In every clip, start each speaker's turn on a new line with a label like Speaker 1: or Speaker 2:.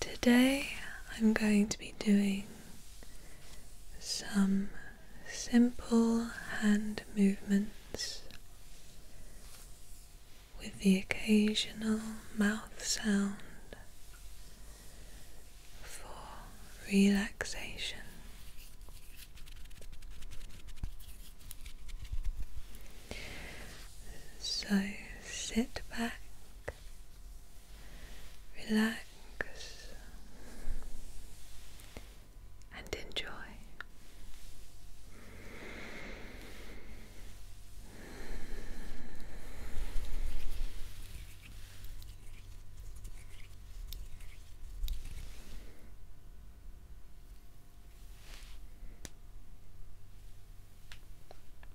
Speaker 1: Today I'm going to be doing some simple hand movements with the occasional mouth sound for relaxation. So sit back relax, and enjoy.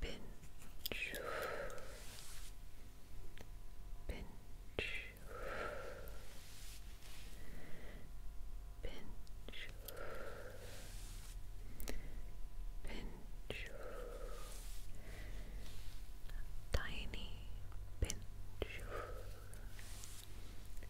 Speaker 2: pinch, pinch, pinch, pinch, tiny pinch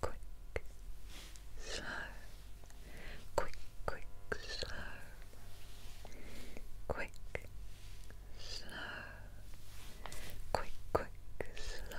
Speaker 2: quick, slow, quick, quick, slow, quick, slow, quick, quick, slow.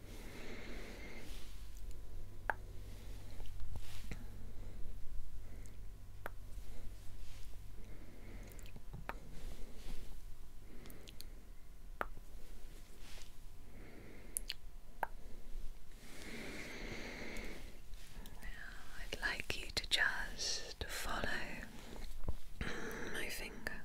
Speaker 2: Now, I'd like you to just follow my finger.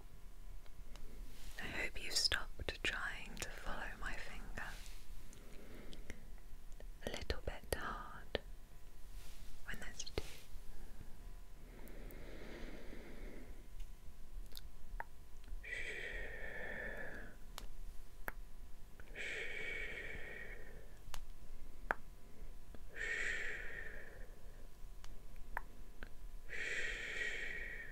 Speaker 2: I hope you've stopped trying to follow my finger. A little bit hard when that's due. Shh. Shh.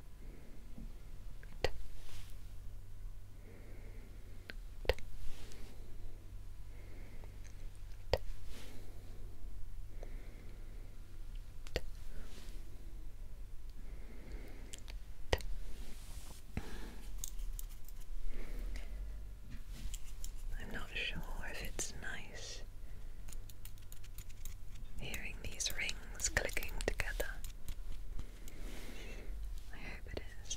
Speaker 2: T. T. T. T. T. I'm not sure if it's nice hearing these rings clicking together. I hope it is.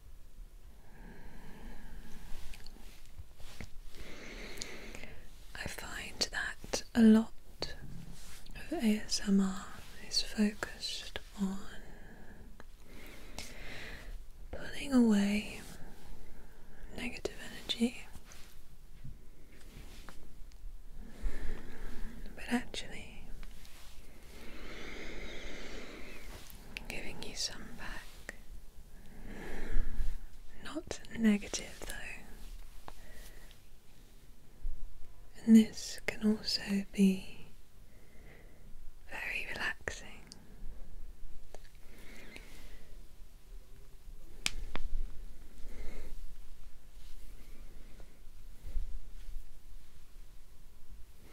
Speaker 1: I find that a lot of ASMR is focused on pulling away negative energy, but actually, Giving you some back. Not negative though. And this can also be very relaxing.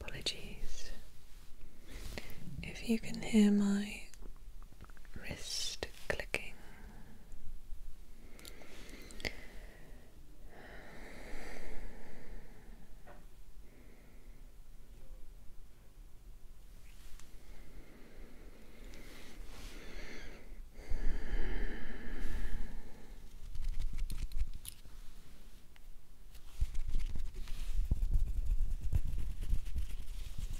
Speaker 2: Apologies
Speaker 1: if you can hear my
Speaker 2: wrist clicking,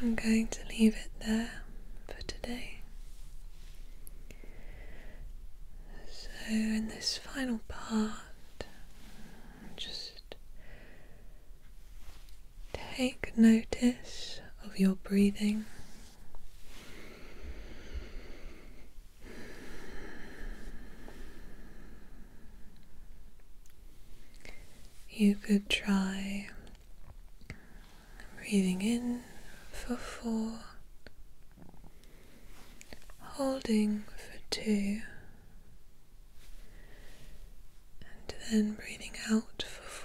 Speaker 1: I'm going to leave it there for today. So, in this final part, just take notice of your breathing. You could try Breathing in for four, holding for two, and then breathing out for four.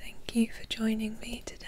Speaker 1: Thank you for joining me today.